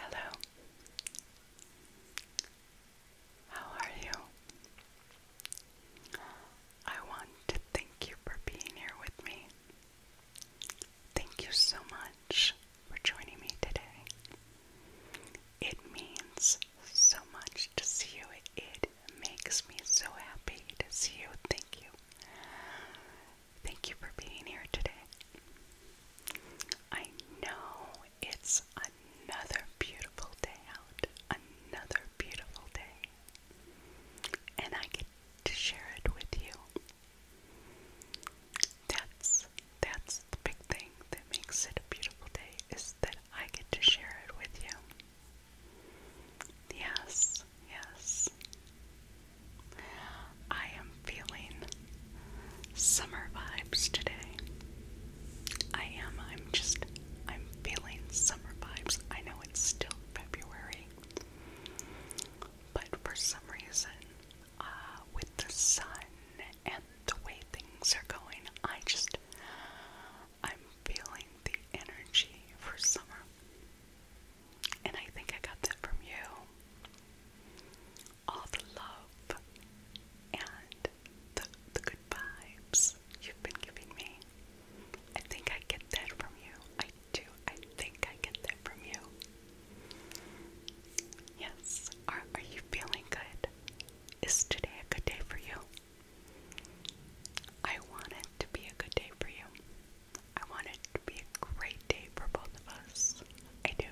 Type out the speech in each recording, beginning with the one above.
Hello. How are you? I want to thank you for being here with me. Thank you so much for joining me today. It means so much to see you. It makes me so happy to see you. Thank you. Thank you for being here today. I know it's another beautiful day out, another beautiful day, and I get to share it with you. That's that's the big thing that makes it a beautiful day is that I get to share it with you. Yes, yes. I am feeling summer vibes today. I am. I'm just. I'm feeling summer vibes. I know it's still February, but for some reason, uh, with the sun and the way things are going, I just. I'm feeling the energy for summer. And I think I got that from you. All the love and the, the good vibes you've been giving me. I think I get that from you. I do. I think I get that from you. Yes. Are, are you feeling good? Is today a good day for you? I want it to be a good day for you. I want it to be a great day for both of us. I do.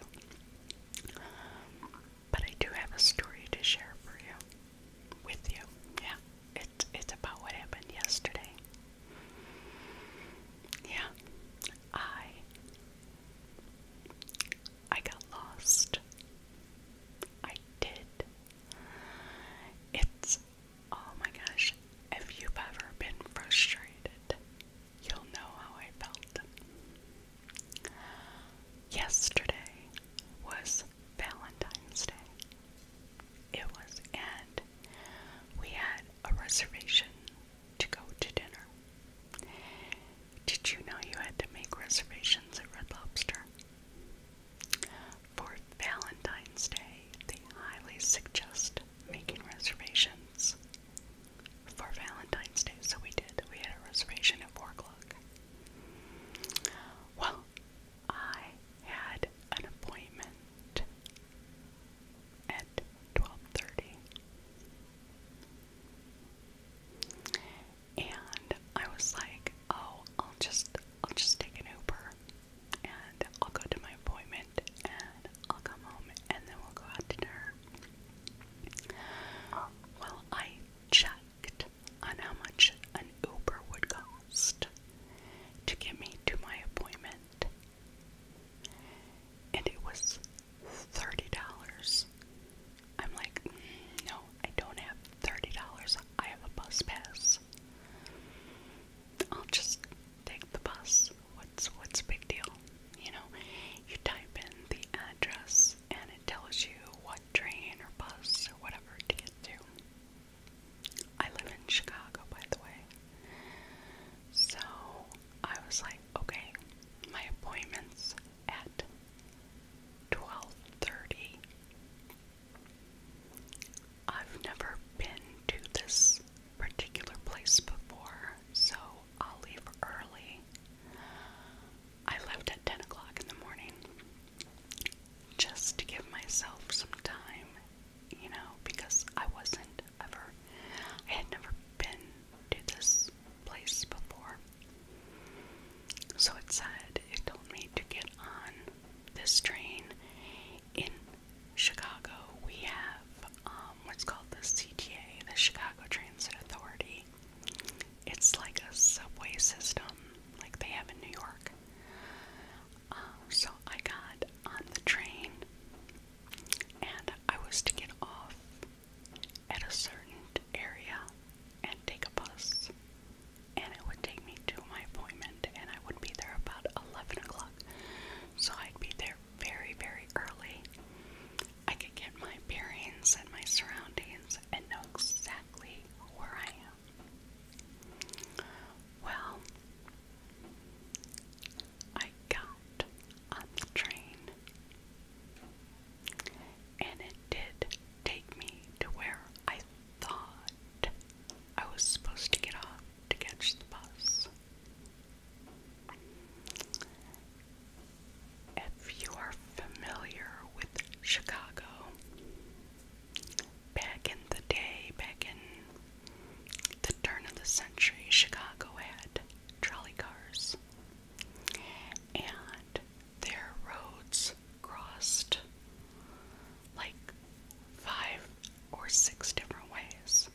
but I do have a story to share for you. With you. Yeah. It's it's about what happened yesterday. Yeah. I I got lost. I did. It's oh my gosh. If you ever been frustrated you'll know how I felt. Yesterday was Valentine's Day. It was, and we had a reservation to go to dinner. Did you know you had to make reservations at Red Lobster? For Valentine's Day, they highly suggest making reservations for Valentine's Day. So we did. We had a reservation at 4 o'clock. Well, I had an appointment at 12.30. And I was like, oh, I'll just, I'll just take an Uber and I'll go to my appointment and I'll come home and then we'll go out to dinner. Well, I checked on how much an Uber would cost to get me to my appointment, and it was $30. I'm like, mm, no, I don't have $30. I have a bus pass. I'll just take the bus what's what's big deal? You know, you type in the address and it tells you what train or bus or whatever to get to. I live in Chicago, by the way. So I was like, okay, my appointment's at 12:30. I've never been to this particular place before, so I'll leave early. I left at 10 o'clock in the morning just to give myself some time, you know, because I wasn't ever, I had never been to this place before. So it said, it told me to get on this train in Chicago, we have um, what's called the CTA, the Chicago Transit Authority. It's like a subway system, like they have in New York. Um, so I got on the train, and I was to get off at a certain area and take a bus, and it would take me to my appointment, and I would be there about 11 o'clock. So I'd be there very, very early, I could get my bearings and my surroundings and know exactly where I am. Well, I got on the train, and it did take me to where I thought I was supposed to get off to catch the bus. If you are familiar with Chicago, back in the day, back in the turn of the century, Chicago had trolley cars. And their roads crossed like five or six different ways.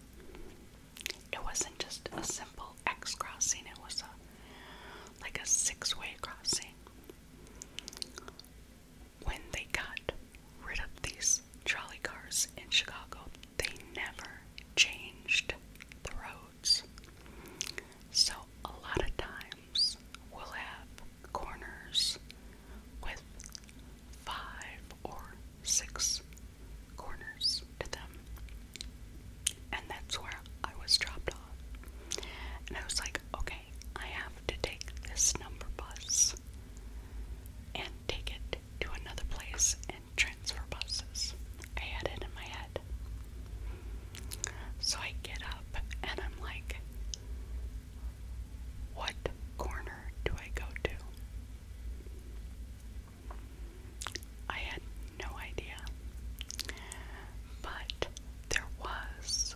It wasn't just a simple X crossing, it was a like a six-way crossing. When they got rid of these trolley cars in Chicago, they never changed the roads. So a lot of times we'll have corners with five or six corners to them. And that's where I was dropped off. And I was like, okay, I have to take this number bus and take it to another place and transfer buses. I had it in my head. So I get up and I'm like, what corner do I go to? I had no idea. But there was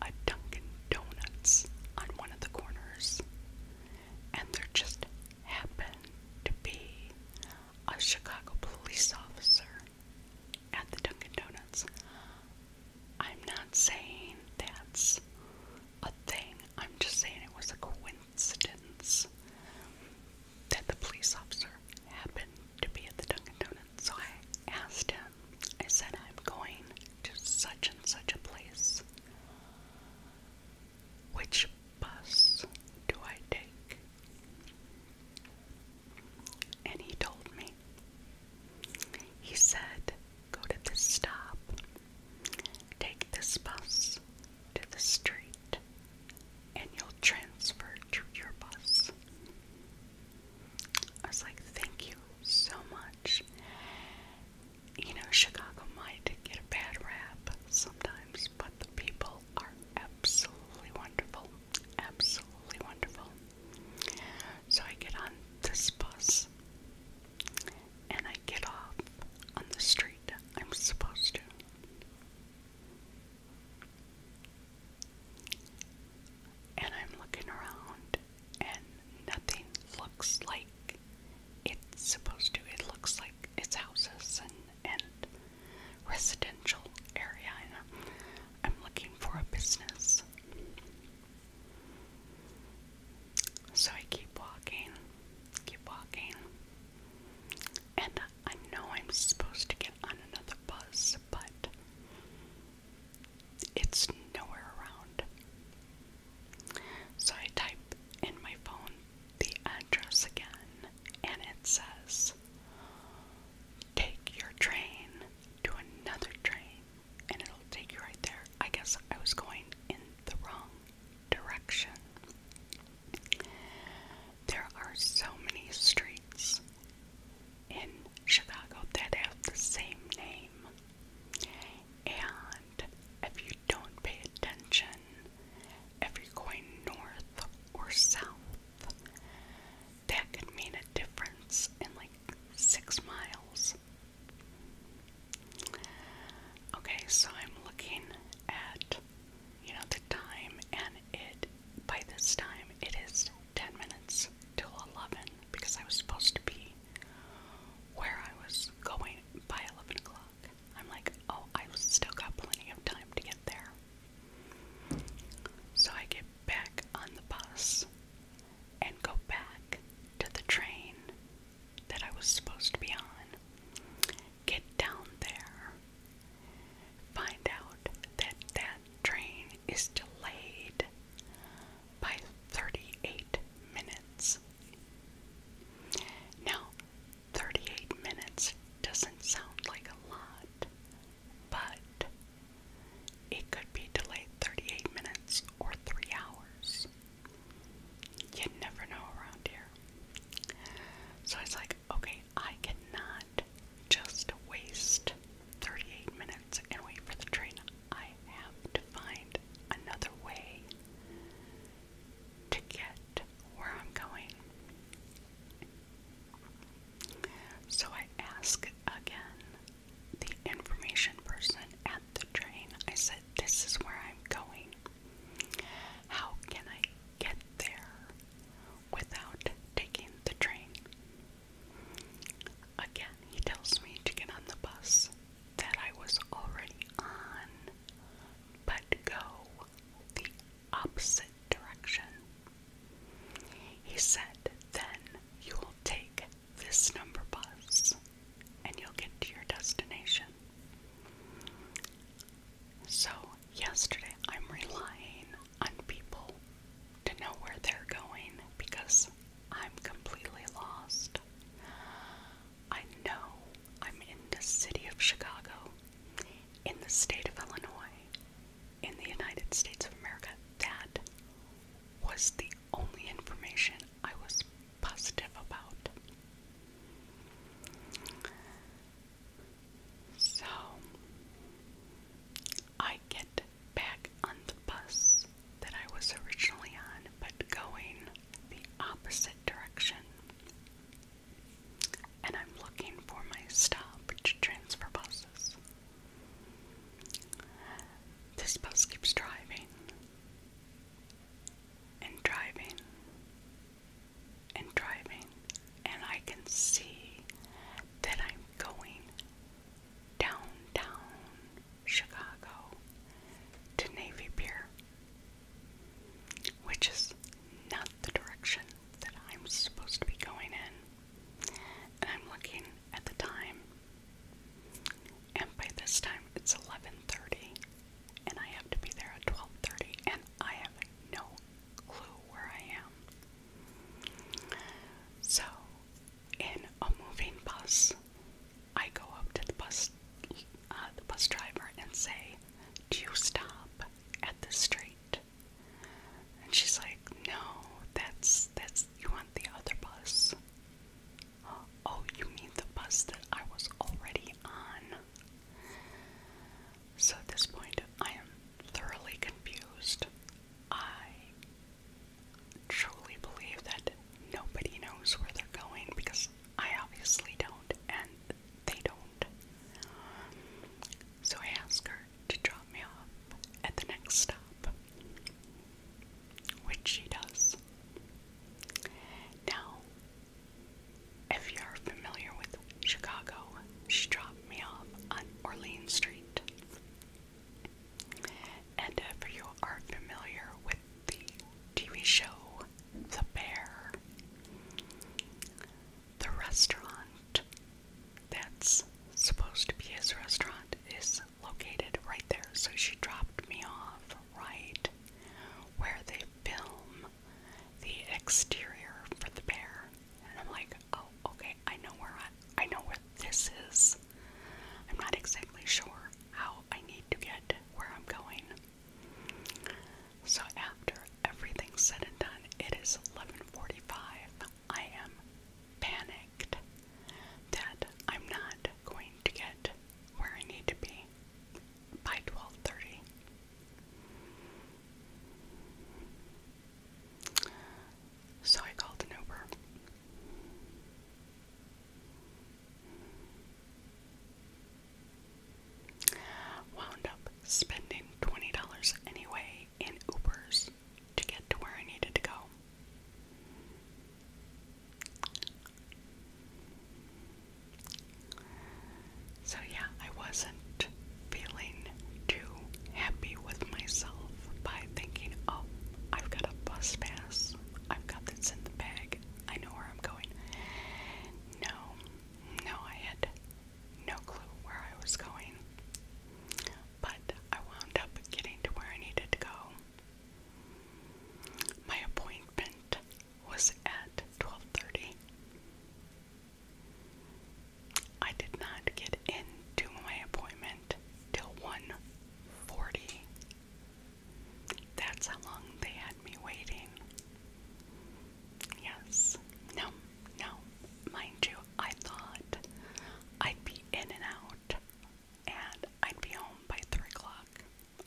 a Dunkin' Donuts on one of the corners, and there just happened to be a Chicago police officer at the Dunkin' Donuts. I'm not saying that's a thing. I'm just saying it was a coincidence that the police officer happened to be at the Dunkin' Donuts. So I asked him, I said, I'm going to such and such a place. Which bus do I take? And he told me. He said, Go to this stop Take this bus to the street and you'll transfer to your bus. I was like, thank you so much. You know, Chicago might get a bad rap sometimes, but the people are absolutely wonderful. Absolutely wonderful. So I get on this bus and I get off on the street I'm supposed to. And I'm looking around, and nothing looks like it's supposed to. It looks like it's houses and, and residential area. I'm looking for a business. So I keep walking, keep walking, and I know I'm supposed to get on another bus, but it's nowhere around. So I type in my phone the address again, and it says, Take your train to another train and it'll take you right there. I guess I was going in the wrong direction. There are so many streets in Chicago that have the same name, and if you don't pay attention, if you're going north or south, that could mean a difference in like six miles Okay, so I'm looking at you know the time and it by this time it is 10 minutes till 11 because I was supposed to be where I was going by 11 o'clock. I'm like, oh, I still got plenty of time to get there. So I get back on the bus and go back to the train that I was supposed to be on. Get down there. Find out that that train is delayed by 38 minutes. Now, 38 minutes doesn't sound like a lot, but it could be delayed 38 minutes or 3 hours. You never know around here. So it's like, okay, I cannot just waste 38 minutes and wait for the train. I have to find another way to get where I'm going. So I ask again the information person at the train. I said, This is where I'm going. How can I get there without taking the train? Again, he tells me to get on the bus that I was already on, but go the opposite direction. He said, Then you will take this number bus and you'll get to your destination. So, yesterday I'm relying on people to know where they're going because I'm completely lost. I know I'm in the city of Chicago, in the state of Illinois, in the United States of America. That was the only information I was positive about. So I get back on the bus that I was originally on, but going the opposite direction. And I'm looking for my stop to transfer buses. This bus keeps driving and driving and driving, and I can see that I'm going downtown Chicago to Navy Pier, which is not the direction that I'm supposed to be going in. And I'm looking at the time, and by this time it's 11:30 and I have to be there at 12:30 and I have no clue where I am. So, in a moving bus, I go up to the bus uh, the bus driver and say, "Do you stop at the street?" And she's like, "No, that's that's you want the other bus." Oh, you mean the bus that I was already on? So at this point, I am thoroughly confused. I truly believe that nobody knows where they're going because I obviously don't, and they don't. So I ask her to drop me off at the next stop which she does. Now, if you're familiar with Chicago, she dropped me off on Orleans Street. And if you are familiar with the TV show The Bear, the restaurant that's supposed to be his restaurant is located right there, so she dropped me off right where they film the exterior for the bear. And I'm like, oh, okay, I know where I, know where this is. I'm not exactly sure how I need to get where I'm going. So after everything's said and done, it is 11:45. I am panicked that I'm not going to get where I need to be by 12:30. So I called an Uber. Wound up spending $20 anyway in Ubers to get to where I needed to go. So, yeah, I wasn't feeling too happy with myself by thinking, oh, I've got a bus pass, I've got this in the bag, I know where I'm going. No, no, I had no clue where I was going. But I wound up getting to where I needed to go my appointment was at 12:30. I did not get into my appointment till 1:40. That's how long they had me waiting. Yes. No. No. Mind you, I thought I'd be in and out and I'd be home by 3 o'clock.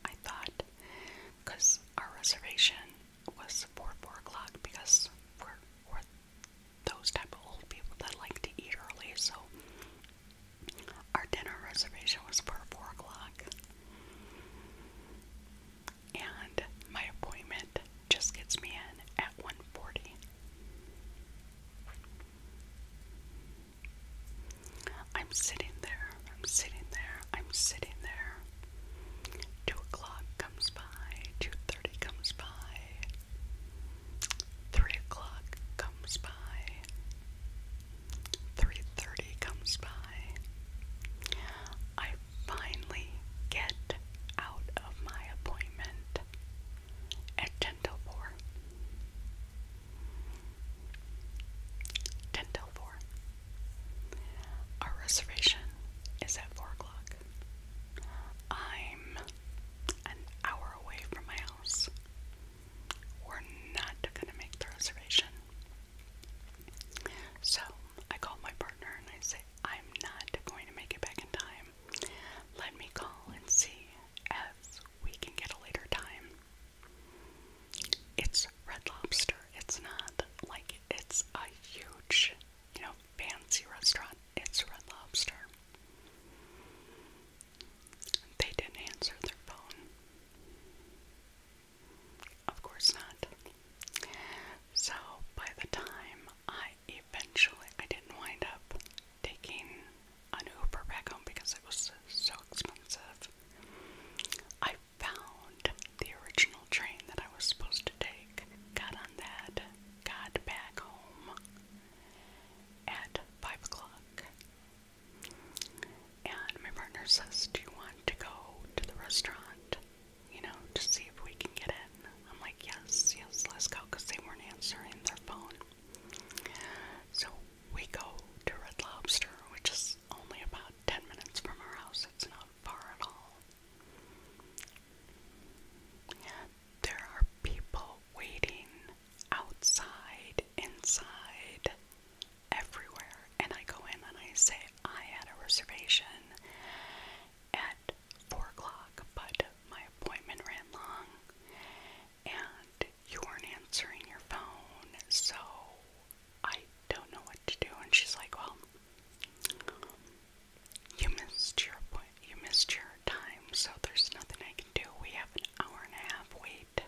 I thought, because our reservation was for 4 o'clock because we're, we're those type of old people that like to eat early, so our dinner reservation was for 4 o'clock. And my appointment just gets me in at 1.40. I'm sitting there, I'm sitting there, I'm sitting there. Two o'clock comes by, two thirty comes by, three o'clock comes by, three thirty comes by. I finally get out of my appointment at ten till four. Ten till four. Our reservation is at four o'clock. I'm an hour away from my house. We're not gonna make the reservation. So I call my partner and I say, I'm not going to make it back in time. Let me call and see as we can get a later time. It's Red Lobster. It's not like it's a huge, you know, fancy restaurant. It's Red Lobster. They didn't answer their phone. Of course not. So by the time I eventually, I didn't wind up taking an Uber back home because it was so expensive. I found the original train that I was supposed to take, got on that, got back home at 5 o'clock. And my partner says, Do you want to go to the restaurant? You know, to see if we can get in. I'm like, Yes, yes, let's go because they weren't answering their phone. So we go to Red Lobster, which is only about 10 minutes from our house. It's not far at all. There are people waiting outside, inside, everywhere. And I go in and I say, I had a reservation at 4 o'clock, but my appointment ran long and you weren't answering your phone, so I don't know what to do. And she's like, Well, you missed your appointment. You missed your time, so there's nothing I can do. We have an hour and a half wait.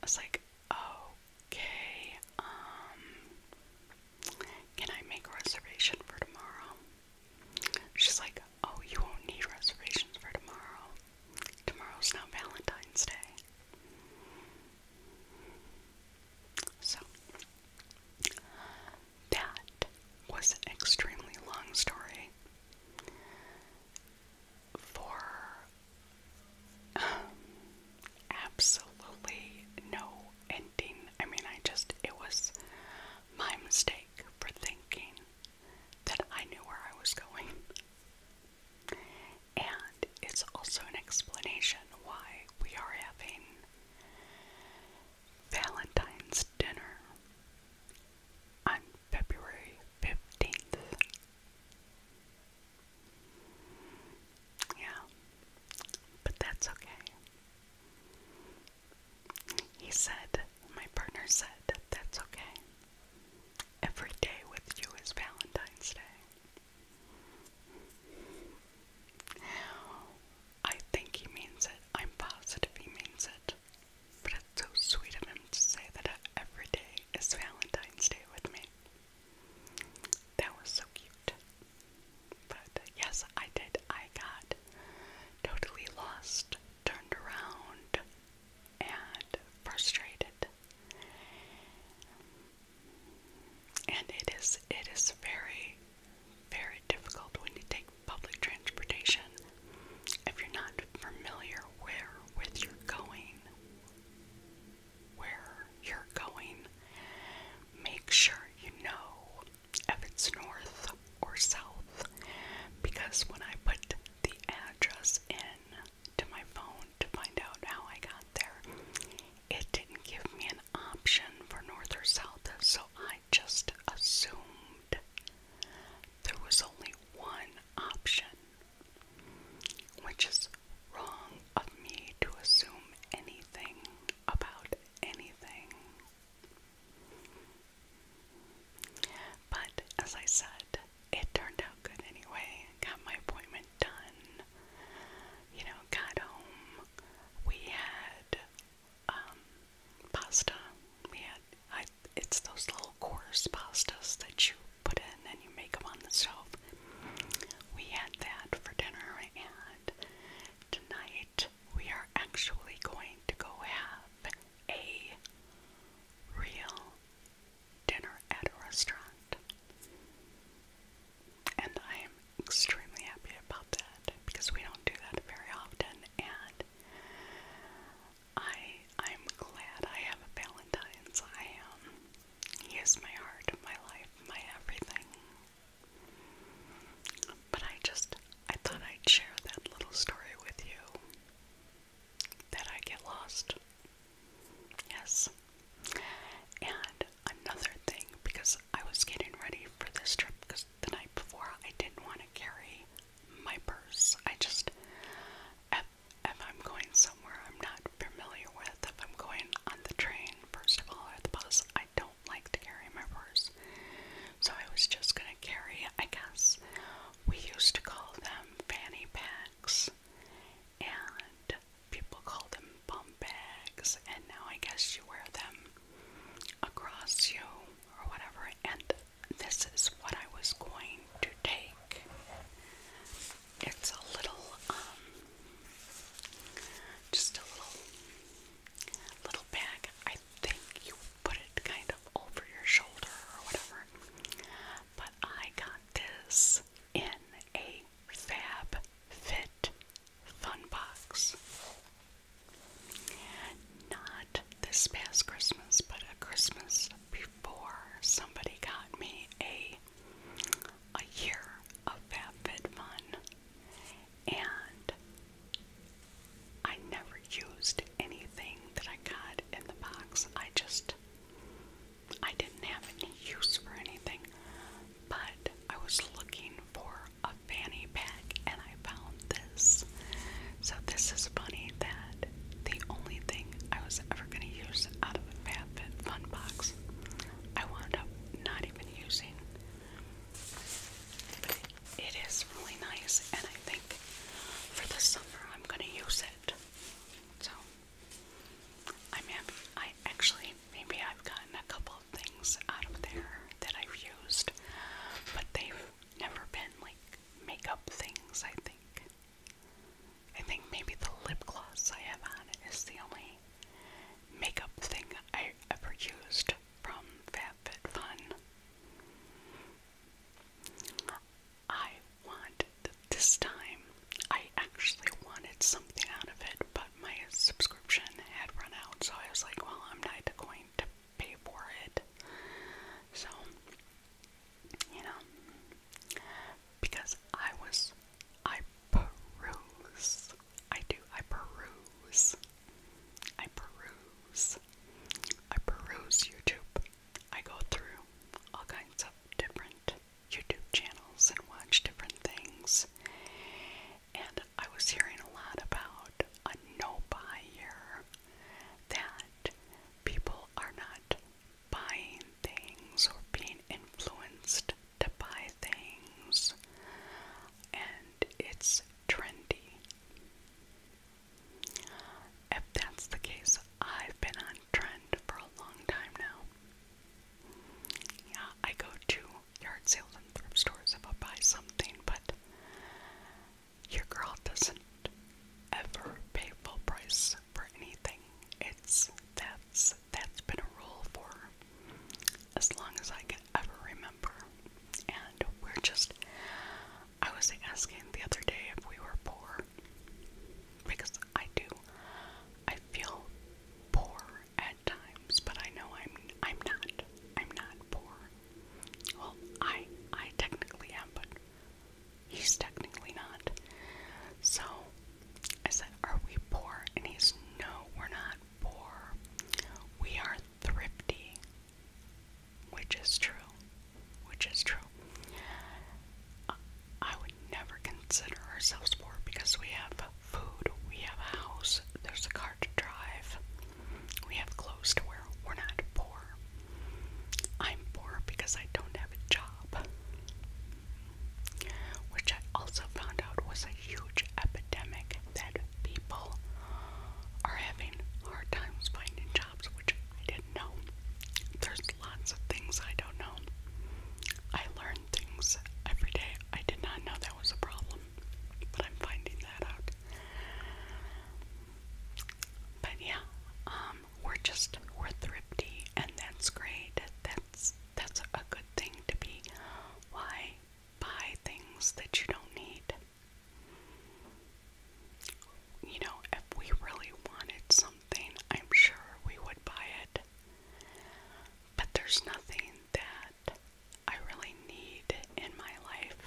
I was like, okay, um, can I make a reservation for tomorrow? She's like, Oh, you won't need reservations for tomorrow. Tomorrow's not Valentine's Day. So, that was an extremely long story for um, absolutely no ending. I mean, I just, it was my mistake for thinking that I knew where I was going. And it's also an explanation why we are having Valentine's dinner on February 15th. Yeah, but that's okay. He said, my partner said, that's okay. Every day with you is Valentine's Day. I think he means it. I'm positive he means it. But it's so sweet of him to say that every day is Valentine's Day with me. That was so cute. But uh, yes, I did. I got totally lost, turned around, and frustrated. And it is it is very, very difficult when you take public transportation if you're not familiar where with you're going where you're going, make sure you know if it's north or south because when I put the address in to my phone to find out how I got there, it didn't give me an option for north or south, so I just assumed there was only one option, which is wrong of me to assume anything about anything. But as I said, it turned out good anyway. Got my appointment done. You know, got home. We had um, pasta. We had it's those little coarse pastas that you put in and you make them on the stove we had that for dinner, and tonight we are actually going to go have a real dinner at a restaurant. And I am extremely happy about that because we don't do that very often and I I'm glad I have a Valentine's. I am um, he is my heart, my life, my everything. But I just, I thought I'd share that little story with you. That I get lost. Yes. And another thing, because I was getting ready for this trip, because the night before I didn't want to carry my purse. I just, if, if I'm going so somewhere I'm not familiar with. If I'm going on the train, first of all, or the bus, I don't like to carry my purse. So I was just gonna carry, I guess, we used to call them fanny packs, and people call them bum bags, and now I guess you wear them across you or whatever. And this is what I was going to take. It's a little, um, just a little, little bag. I think you put it kind of over your shoulder or whatever. But I got this in a Fab Fit Fun Box. Not this past Christmas, but a Christmas before, somebody got me a a year of FabFitFun, and I never used anything that I got in the box. I just, I didn't have any use for anything, but I was looking for a fanny pack and I found this. So this is funny that the only thing I was ever going to use out of a FabFitFun box I wound up not even using. it is really nice, and I think for the summer I'm going to use it. So I'm happy. I actually, maybe I've gotten a couple of things out of there that I've used, but they've never been like makeup things, I think. I think maybe the lip gloss I have on is the only makeup thing I ever used from FabFitFun. I wanted this time, I actually wanted something out of it, but my subscription had run out, so I was like, well, I'm not going to pay for it. So, you know, because I was I peruse. I do. I peruse. I peruse. I peruse YouTube. I go through all kinds of different YouTube channels and watch different things. And I was hearing a lot about a no buy year that people are not buying things or being influenced to buy things, and it's trendy. If that's the case, I've been on trend for a long time now. Yeah, I go to yard sales and thrift stores if I buy something, but your girl doesn't ever pay full price for anything. It's that's that's been a rule for as long as I can ever remember. And we're just, I was asking the other day if we were poor because I do. I feel poor at times, but I know I'm I'm not. I'm not poor. Well, I I technically am, but he's technically not. So I said, Are we poor? And he's, No, we're not poor. We are thrifty. Which is true. Which is true. Uh, I would never consider ourselves poor because we have food, we have a house, there's a car to drive, we have clothes to wear. We're not poor. I'm poor because I don't have a job which I also found out was a huge epidemic that people are having hard times finding jobs, which I didn't know. There's lots of things I don't know. I learn things every day. I did not know that was a problem, but I'm finding that out. But yeah, um, we're just we're thrifty, and that's great. That's that's a good thing to be. Why buy things that you don't need? You know, if we really wanted something, I'm sure we would buy it. But there's nothing that I really need in my life.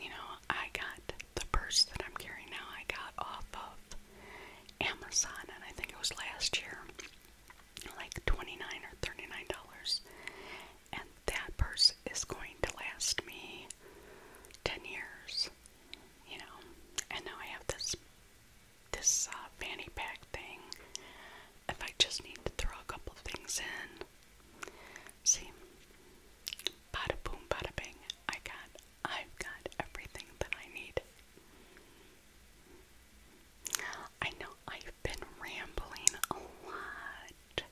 You know, I got the purse that I'm carrying now, I got off of Amazon, and I think it was last year, like $29 or $39. And that purse is going to last me 10 years, you know. And now I have this this uh, fanny pack thing. If I just need to throw a couple of things in, see, bada boom, bada bing, I got I've got everything that I need. I know I've been rambling a lot.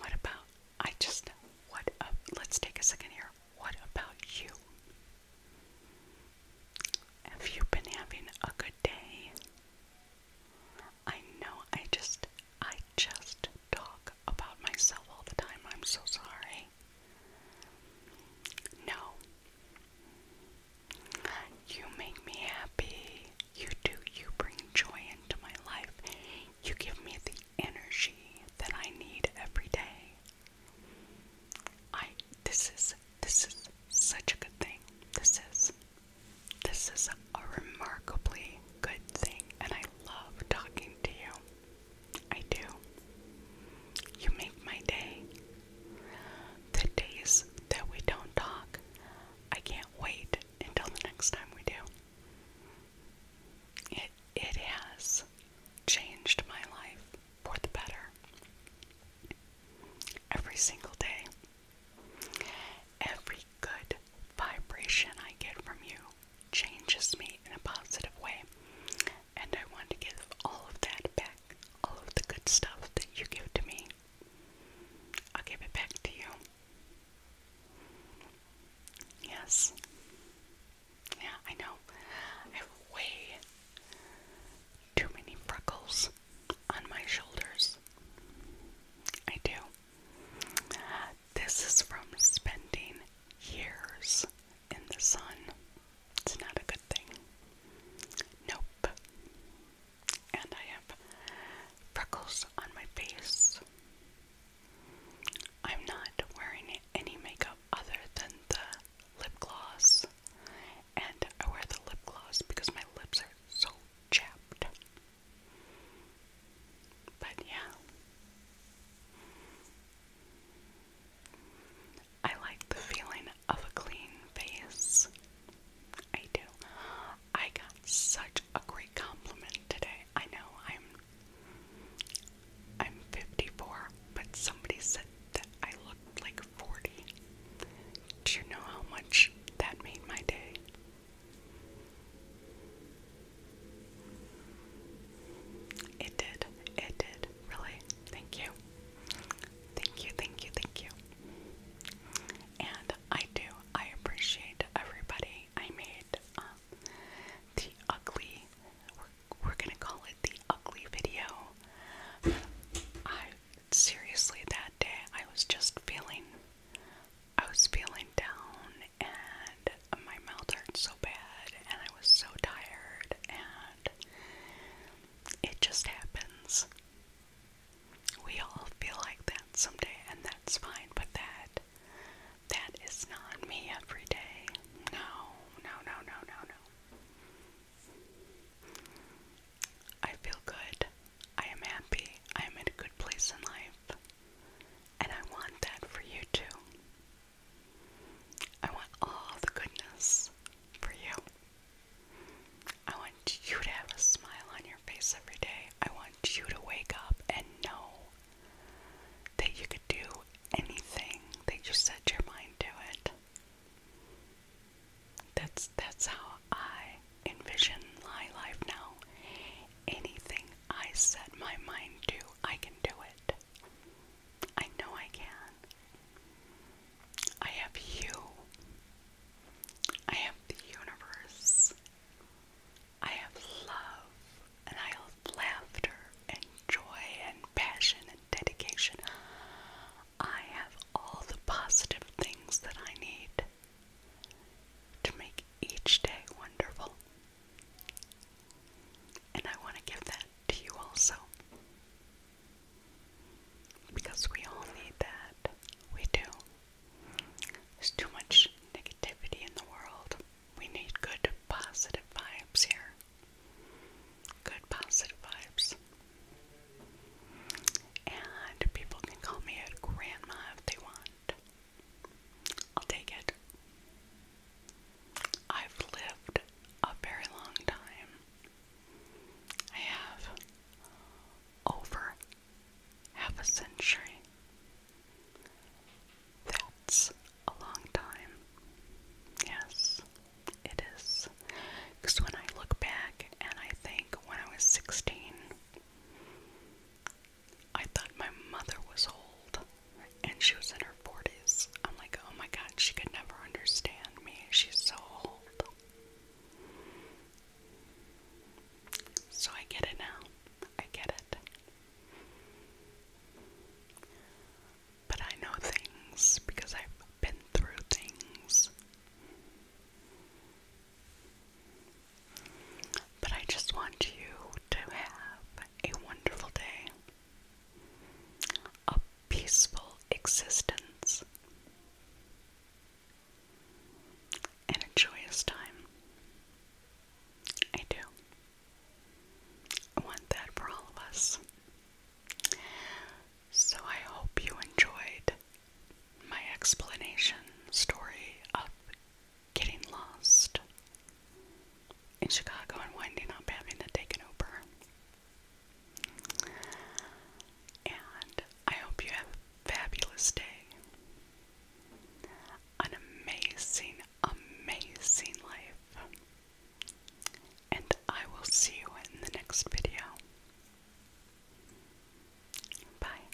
What about I just what uh, let's take a second here. What about you? Have you been having a good day? I know I just I just talk about myself all the time. I'm so sorry. No. You make me happy. You do. You bring joy into my life. You give me the energy that I need every day. I this is this is such a good thing. This is this is a remarkably good thing and I love talking to you. I do. You make my day. The days that we don't talk, I can't wait until the next time we do. It it has changed my life for the better. Every single day. Every good vibration I get from you changes me in a positive way. And I want to give all of that back, all of the good stuff that you give to me. I'll give it back to you. Yes. Yeah, I know. I have way too many freckles on my shoulders. I do. This is from spending years in the sun. It's not a good thing. Nope. And I have freckles on my face. I'm not wearing any makeup other than the lip gloss. And I wear the lip gloss because my lips are so chapped. But yeah. I like the feeling of a clean face. I do. I got such a great compliment today. I know I'm I'm 54, but somebody said that I looked like 40. Do you know how much that made my day? It did. It did. Really. Thank you. Thank you, thank you, thank you. And I do. I appreciate everybody. I made um, the ugly, we're, we're gonna call it the ugly video. I seriously, that day I was just feeling, I was feeling down and my mouth hurt so bad and I was so tired and it just happens. We all feel like that someday and that's fine, but that that is not me every day. No, no, no, no, no, no. I feel good. I am happy. I am in a good place in life. And I want that for you too. I want all the goodness for you. I want you to have a smile on your face every day. I want you to wake up and know that you could do anything that you set your mind to it. That's that's how I envision my life now. Anything I set my mind to, I can do it. I know I can. I have you. I have the universe. I have love, and I have laughter, and joy, and passion, and dedication. I have all the positive things that I need to make each day wonderful. And I want to give that to you also. Because we all need that. We do. There's too much negativity in the world. We need good, positive vibes here. Good, positive vibes. And people can call me a grandma if they want. I'll take it. I've lived a very long time. I have over half a century. That's a long time. Yes, it is. Because when I look back and I think when I was 16, I thought my mother was old and she was in her 40s. I'm like, oh my god, she could never understand me. She's so old. So I get it now. I get it. But I know things because I've been through things. But I just want you to have a wonderful day, a peaceful existence, and a joyous time. I do. I want that for all of us. So I hope you enjoyed my explanation story of getting lost in Chicago and winding up having to take an Uber. And I hope you have a fabulous day. An amazing, amazing life. And I will see you in the next video. Bye.